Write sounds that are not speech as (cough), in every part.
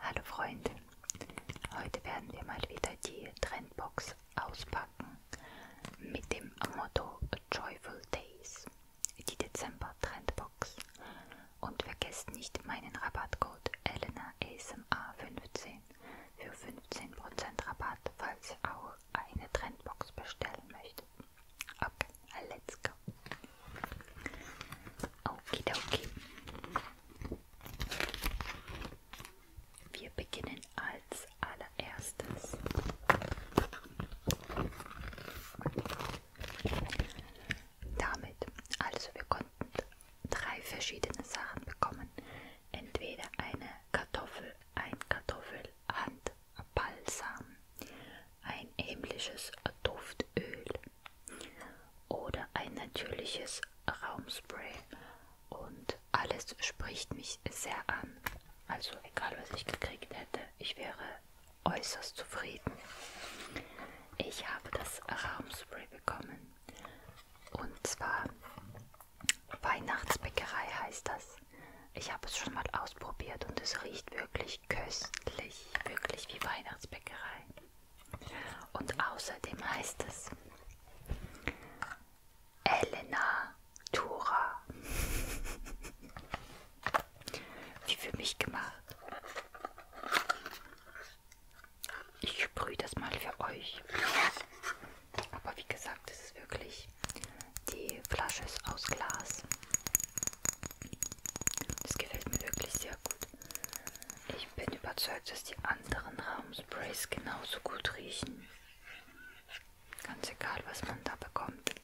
Hallo Freunde, heute werden wir mal wieder die Trendbox auspacken mit dem Motto Joyful Days, die Dezember Trendbox. Und vergesst nicht meinen Rabattcode ElenaASMR15 für 15% Rabatt, falls ihr auch eine Trendbox bestellen möchtet. Okay, let's go. Okidoki. Wir beginnen als allererstes damit. Also wir konnten drei verschiedene Sachen bekommen. Entweder eine Kartoffel, ein Kartoffelhandbalsam ein himmlisches Duftöl oder ein natürliches Raumspray und alles spricht mich sehr an. Also egal was ich gekriegt hätte, ich wäre äußerst zufrieden. Ich habe das Raumspray bekommen und zwar Weihnachtsbäckerei heißt das. Ich habe es schon mal ausprobiert und es riecht wirklich wirklich köstlich, wirklich wie Weihnachtsbäckerei. Und außerdem heißt es Elena Tura. (laughs) wie für mich gemacht. Ich sprühe das mal für euch. Aber wie gesagt, es ist wirklich, die Flasche ist aus Glas. Das gefällt mir wirklich sehr gut. Ich bin überzeugt, dass die anderen Raumsprays genauso gut riechen. Ganz egal, was man da bekommt.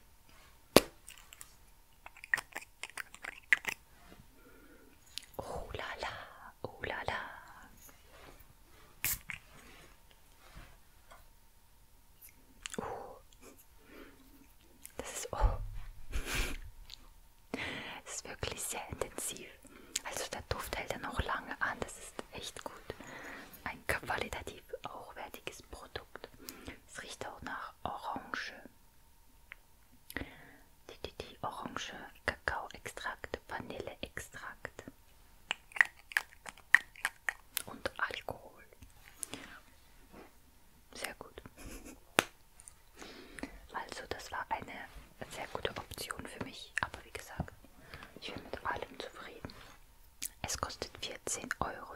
Oh la la, oh la la. Oh, das ist, oh. das ist wirklich sehr intensiv. Also der Duft hält ja noch lange an. Das ist echt gut. Ein qualitativ hochwertiges Produkt. Es riecht auch nach Orange. Die, die, die Orange, Kakaoextrakt, Vanilleextrakt und Alkohol. Sehr gut. Also, das war eine sehr gute Option für mich, aber wie gesagt, ich bin mit allem zufrieden. Es kostet 14,90 Euro.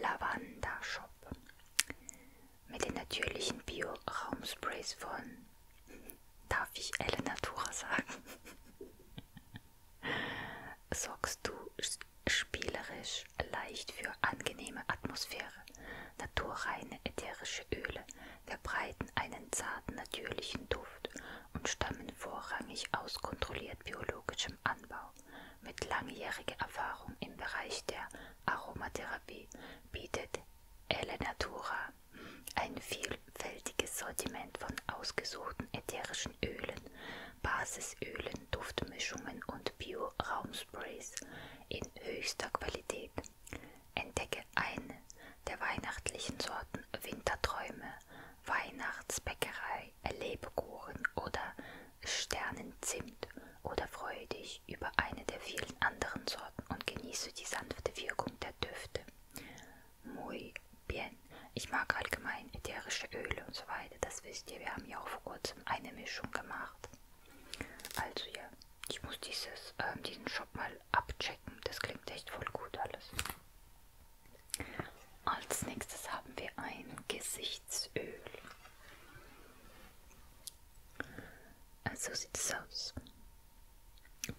Lavanda Shop. Mit den natürlichen Bio-Raumsprays von, darf ich Elenatura sagen? sorgst du spielerisch leicht für angenehme Atmosphäre. Naturreine ätherische Öle verbreiten einen zarten natürlichen Duft und stammen vorrangig aus kontrolliert biologischem Anbau. Mit langjähriger Erfahrung im Bereich der Aromatherapie bietet Elle Natura ein vielfältiges Sortiment von ausgesuchten ätherischen Ölen, Basisölen, Duftmischungen und und Bio-Raumsprays in höchster Qualität. Entdecke eine der weihnachtlichen Sorten Winterträume, Weihnachtsbäckerei, Lebkuchen oder Sternenzimt oder freue dich über eine der vielen anderen Sorten und genieße die sanfte Wirkung der Düfte. Muy bien. Ich mag allgemein ätherische Öle und so weiter beide, das wisst ihr, wir haben ja auch vor kurzem eine Mischung gemacht. Also ja, ich muss dieses, äh, diesen Shop mal abchecken, das klingt echt voll gut alles. Als nächstes haben wir ein Gesichtsöl. Also, so sieht es aus.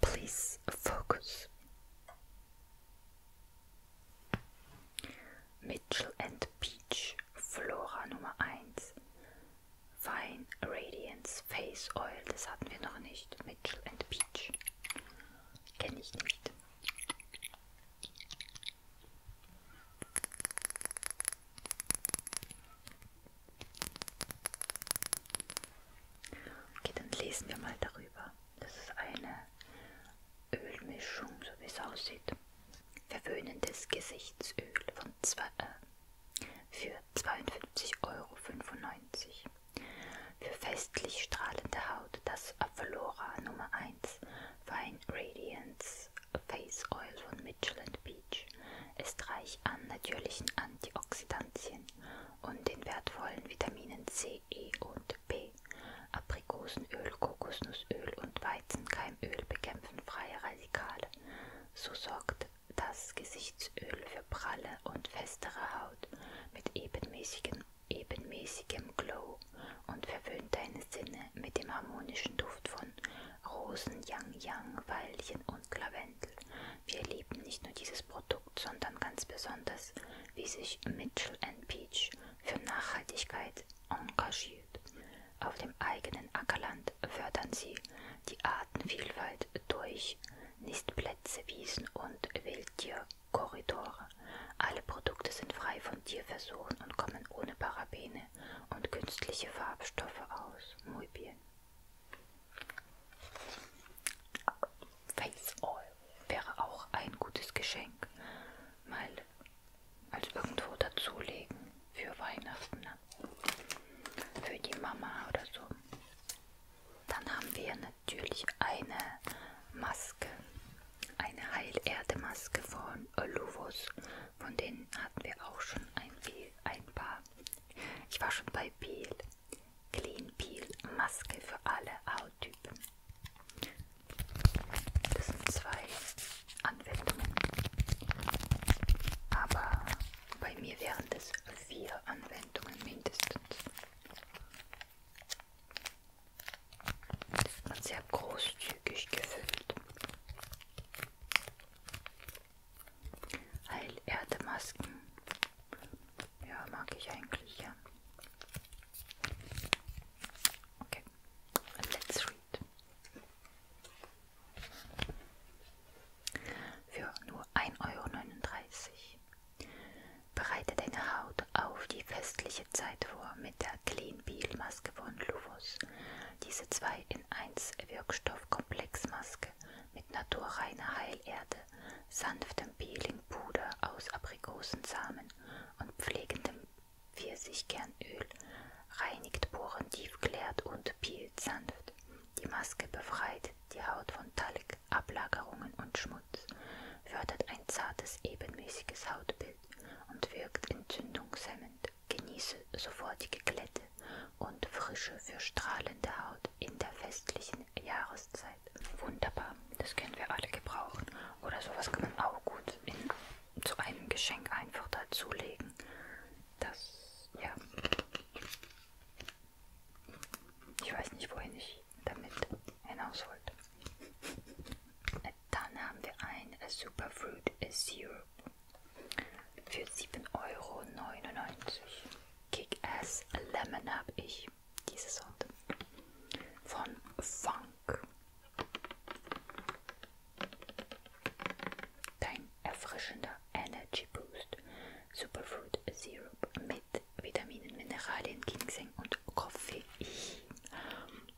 Please focus. Mitchell and Peach Flora Nummer 1 Fine Radiance Face Oil, das hatten wir noch nicht. Mitchell and Peach. Kenne ich nicht. Okay, dann lesen wir mal darüber. Das ist eine Ölmischung, so wie es aussieht. Verwöhnendes Gesichtsöl von zwei, äh, für 52,95 Euro. Für festlich strahlende Haut das Avalora Nummer 1 Fine Radiance Face Oil von Mitchell Beach ist reich an natürlichen Antioxidantien und den wertvollen Vitaminen C, E und B, Aprikosenöl, Kokosnuss Kokosöl und Weizenkeimöl bekämpfen freie Radikale. So sorgt das Gesichtsöl für pralle und festere Haut mit ebenmäßigem, ebenmäßigem Glow und verwöhnt deine Sinne mit dem harmonischen Duft von Rosen, Yang Yang, Weilchen und Lavendel. Wir lieben nicht nur dieses Produkt, sondern ganz besonders, wie sich Mitchell Peach für Nachhaltigkeit engagiert gezielt. Auf dem eigenen Ackerland fördern sie die Artenvielfalt durch Nistplätze, Wiesen und Wildtierkorridore. Alle Produkte sind frei von Tierversuchen und kommen ohne Parabene und künstliche Farbstoffe aus. Muy bien. Face Oil wäre auch ein gutes Geschenk. Mal als irgendwo dazulegen für Weihnachten, ne? für die Mama oder so. Dann haben wir natürlich eine Maske, eine Heilerde-Maske von Oluvos. Von denen hatten wir auch schon ein, Peel, ein paar. Ich war schon bei Peel. Clean Peel Maske für alle Hauttypen. Das sind zwei Anwendungen. Aber bei mir wären das vier Anwendungen mindestens. Das wird sehr großzügig gefüllt. Heilerde-Masken. Ja, mag ich eigentlich, ja. Okay, let's gibt. Für nur 1,39 Euro. Bereite deine Haut auf die festliche Zeit vor mit der Clean Peel Maske von Luvos. Diese 2 in 1 Wirkstoffkomplexmaske mit naturreiner Heilerde, sanftem Peelingpuder aus Aprikosensamen und pflegendem Pfirsichkernöl reinigt Poren tiefklärt und peelt sanft. Die Maske befreit die Haut von Talg, Ablagerungen und Schmutz, fördert ein zartes, ebenmäßiges Hautbild und wirkt entzündungshemmend. Genieße sofortige Glätte und Frische für strahlende Haut in der festlichen Jahreszeit. Wunderbar, das können wir alle gebrauchen. Oder sowas kann man auch gut in zu einem Geschenk einfach dazulegen. Das, ja. Ich weiß nicht, wohin ich damit hinaus wollte. Dann haben wir ein Superfruit Syrup für 7,99 Euro. Kick-Ass Lemon habe ich, diese Sorte. Von Funk. Dein erfrischender Energy Boost Superfood Syrup mit Vitaminen, Mineralien, Ginseng und Koffein.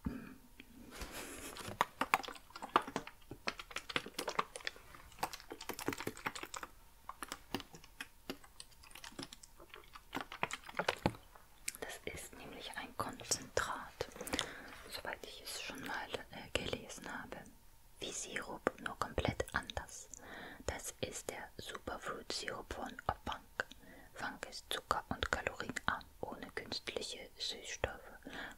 Mm. Das ist nämlich ein Konzentrat, soweit ich es schon mal äh, gelesen habe. Wie Sirup, nur komplett anders. Das ist der Superfruit-Sirup von Bank. Funk ist zucker- und kalorienarm, ohne künstliche Süßstoffe,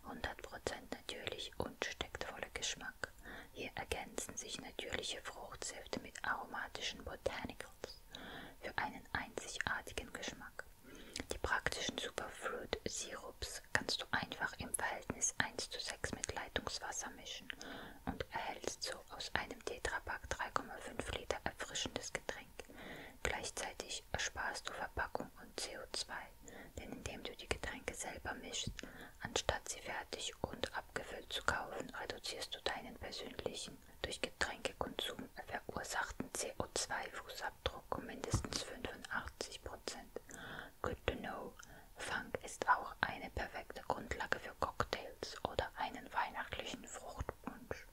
100% natürlich und steckt voller Geschmack. Hier ergänzen sich natürliche Fruchtsäfte mit aromatischen Botanicals für einen einzigartigen Geschmack. Die praktischen Superfruit-Sirups kannst du einfach im Verhältnis 1 zu 6 mit Leitungswasser mischen und erhältst so aus einem Tetrapack 3,5 Liter erfrischendes Getränk. Gleichzeitig ersparst du Verpackung und CO2, denn indem du die Getränke selber mischst, anstatt sie fertig und abgefüllt zu kaufen, reduzierst du deinen persönlichen durch Getränkekonsum verursachten CO2-Fußabdruck. Fußabdruck um mindestens 85%. Good to know. Fang ist auch eine perfekte Grundlage für Cocktails oder einen weihnachtlichen Fruchtpunsch.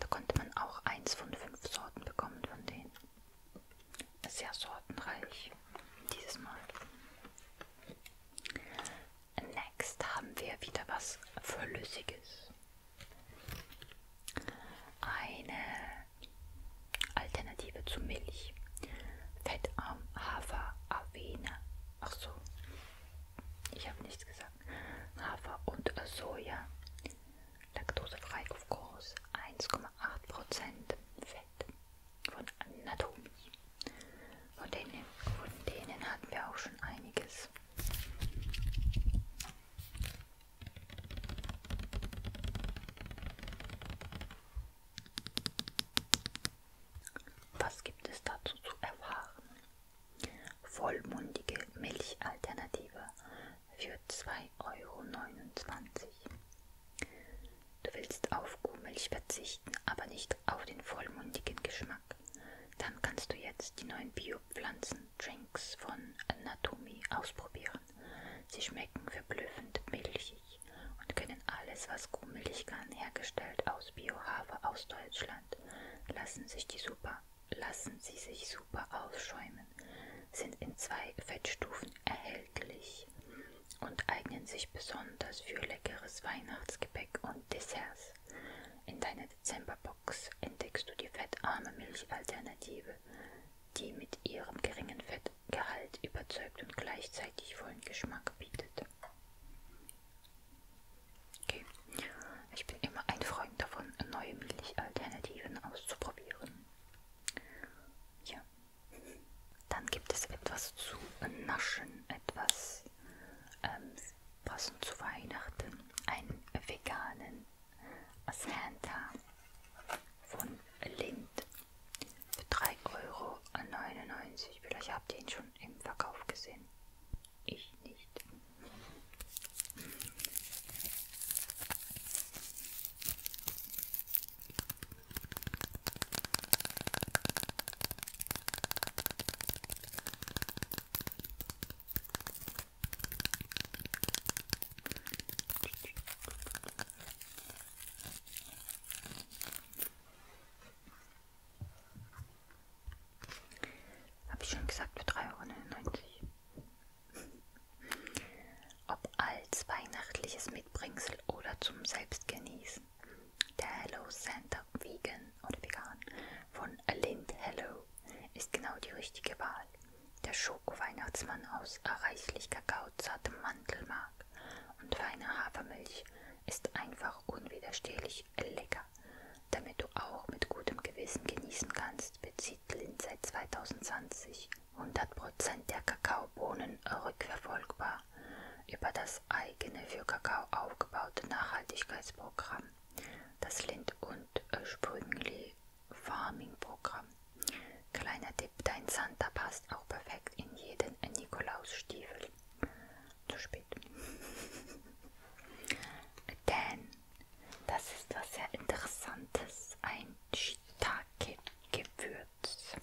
Da konnte man auch eins von fünf Sorten bekommen von denen. Sehr sortenreich dieses Mal. Next haben wir wieder was Flüssiges. Eine Alternative zu Milch. Fettarm, Hafer, Avena. Ach so, ich habe nichts gesagt. Hafer und Soja. Laktosefrei auf groß. 1,8% Fett von Natomilch. Von denen, von denen hatten wir auch schon einiges. Was gibt es dazu zu erfahren? Vollmundige Milchalternative für 2,29 Euro. Du willst auf Kuhmilch verzichten, aber nicht auf den vollmundigen Geschmack. Dann kannst du jetzt die neuen bio Bio-Pflanzen-Drinks von Natomi ausprobieren. Sie schmecken verblüffend milchig und können alles, was kuhmilch kann, hergestellt aus Bio-Hafer aus Deutschland. Lassen, sich die super, lassen sie sich super ausschäumen, sind in zwei Fettstufen erhältlich und eignen sich besonders für leckeres Weihnachtsgebäck und Desserts. In deiner Dezemberbox entdeckst du die fettarme Milchalternative die mit ihrem geringen Fettgehalt überzeugt und gleichzeitig vollen Geschmack bietet. Okay. Ich bin immer ein Freund davon, neue Milchalternativen auszuprobieren. Ja. Dann gibt es etwas zu naschen, etwas ähm, passend zu Weihnachten, einen veganen Santa von Lind für 3,99 Euro. Vielleicht habt ihr ihn schon im Verkauf gesehen. Ich nicht. Habe ich schon gesagt, für 3,99 Euro. Ob als weihnachtliches Mitbringsel oder zum Selbstgenießen. Der Hello Santa Vegan oder Vegan von Lind Hello ist genau die richtige Wahl. Der Schoko-Weihnachtsmann aus reichlich kakaozartem Mandelmark und feiner Hafermilch ist einfach unwiderstehlich lecker. Damit du auch mit gutem Gewissen genießen kannst, bezieht Lind seit 2020 100% der Kakaobohnen rückverfolgbar über das eigene für Kakao aufgebaute Nachhaltigkeitsprogramm, das Lind und Sprüngli Farming-Programm. Kleiner Tipp, dein Santa passt auch perfekt in jeden Nikolausstiefel. Zu spät. (laughs) Denn das ist was sehr Interessantes, ein Shiitake-Gewürz.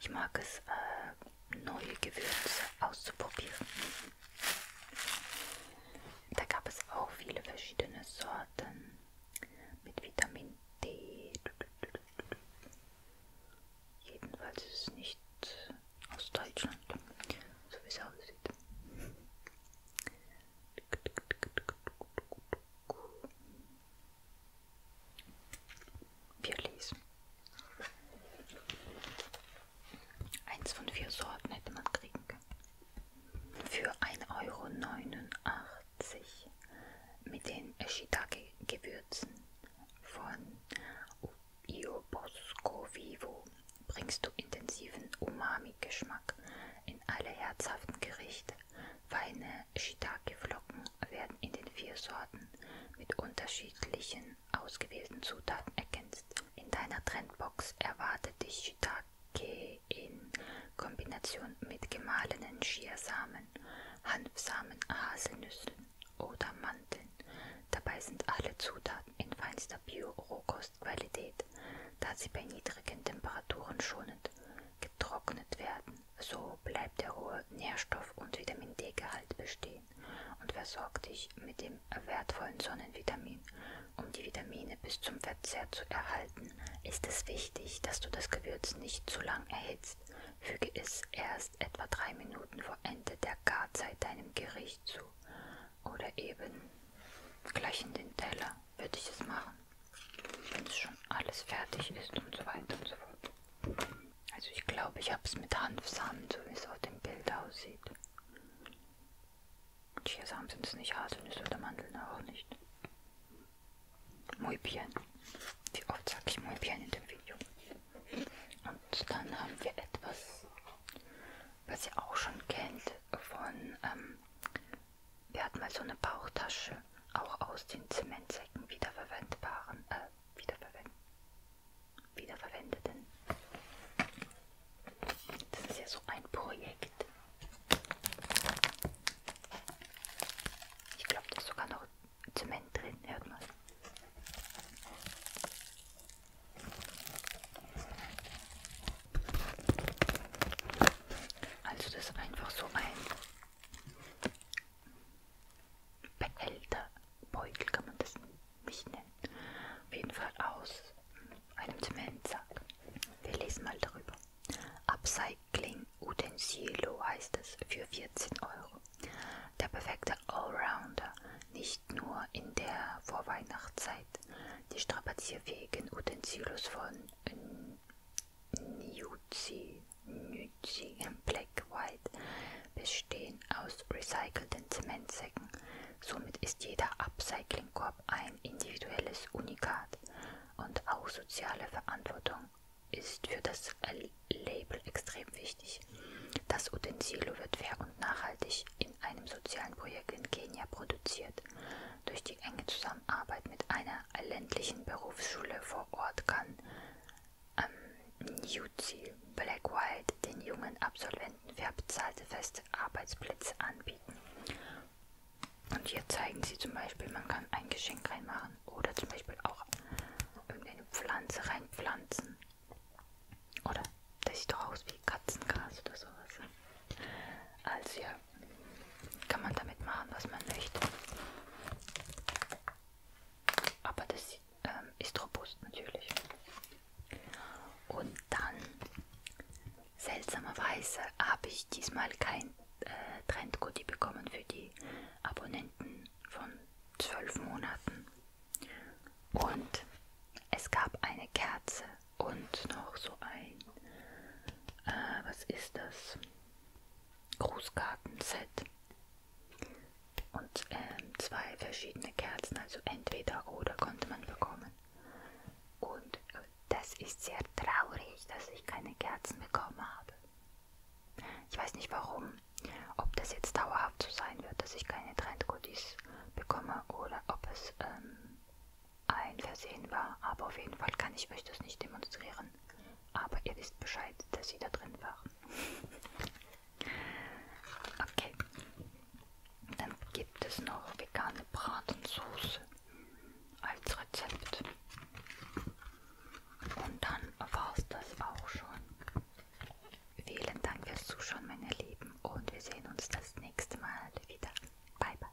Ich mag es, äh, neue Gewürze auszuprobieren. Da gab es auch viele verschiedene Sorten mit Vitamin D. Jedenfalls ist es nicht aus Deutschland, so wie es aussieht. Wir lesen. Eins von vier Sorten hätte man kriegen können. Für 1,89 Euro mit den Shiitake-Gewürzen von Io Bosco Vivo bringst du intensiven Umami-Geschmack in alle herzhaften Gerichte. Feine Shiitake-Flocken werden in den vier Sorten mit unterschiedlichen ausgewählten Zutaten ergänzt. In deiner Trendbox erwartet dich Shiitake in Kombination mit gemahlenen Chiasamen, Hanfsamen, Haselnüssen oder Mandeln. Dabei sind alle Zutaten in feinster bio Frostqualität, da sie bei niedrigen Temperaturen schonend getrocknet werden. So bleibt der hohe Nährstoff- und Vitamin D-Gehalt bestehen und versorgt dich mit dem wertvollen Sonnenvitamin. Um die Vitamine bis zum Verzehr zu erhalten, ist es wichtig, dass du das Gewürz nicht zu lang erhitzt. Füge es erst etwa drei Minuten vor Ende der Garzeit deinem Gericht zu oder eben gleich in den Teller würde ich es machen, wenn es schon alles fertig ist und so weiter und so fort. Also ich glaube, ich habe es mit Hanfsamen, so wie es auf dem Bild aussieht. Chiasamen sind es nicht, Haselnüsse oder Mandeln auch nicht. Muy bien. Wie oft sage ich muy bien in dem Video. Und dann haben wir etwas, was ihr auch schon kennt von ähm, wir hatten mal so eine Bauchtasche, auch aus den Zementsäcken wiederverwendbaren, äh, wiederverwend, wiederverwendeten. Das ist ja so ein Projekt. Ich glaube, da ist sogar noch Zement drin, hört mal. Also das ist einfach so ein Behälter, Beutel kann man das nicht nennen. Auf jeden Fall aus einem Zementsack. Wir lesen mal darüber. Upcycling Utensilio heißt es für 14 Euro. Der perfekte Allrounder, nicht nur in der Vorweihnachtszeit. Die strapazierfähigen Utensilios von Nuzi, Nuzi und Black White bestehen aus recycelten Zementsäcken. Somit ist jeder Upcycling-Korb ein individuelles Unikat und auch soziale Verantwortung ist für das Label extrem wichtig. Das Utensilo wird fair und nachhaltig in einem sozialen Projekt in Kenia produziert. Durch die enge Zusammenarbeit Zusammenarbeit mit einer ländlichen Berufsschule vor Ort kann am ähm, UC Blackwhite den jungen Absolventen verbezahlte feste Arbeitsplätze anbieten. Und hier zeigen sie zum Beispiel, man kann ein Geschenk reinmachen oder zum Beispiel auch irgendeine Pflanze reinpflanzen. Oder das sieht doch aus wie Katzengras oder sowas. Also ja, kann man damit machen, was man möchte. Aber das ähm, ist robust natürlich. Und dann, seltsamerweise, habe ich diesmal kein äh, Trendgoodie bekommen für die Abonnenten von zwölf Monaten. Und es gab eine Kerze und noch so ein, äh, was ist das? Grußkartenset. Und ähm, zwei verschiedene Kerzen, also entweder oder konnte man bekommen. Und äh, das ist sehr traurig, dass ich keine Kerzen bekommen habe. Ich weiß nicht warum, ob das jetzt dauerhaft so sein wird, dass ich keine Trendgoodies bekomme oder ob es ähm, ein Versehen war, aber auf jeden Fall kann ich euch das nicht demonstrieren. Aber ihr wisst Bescheid, dass sie da drin waren. (laughs) okay. Dann gibt es noch vegane Bratensoße als Rezept. Und dann war es das auch schon. Vielen Dank fürs Zuschauen, meine Lieben. Und wir sehen uns das nächste Mal wieder. Bye, bye.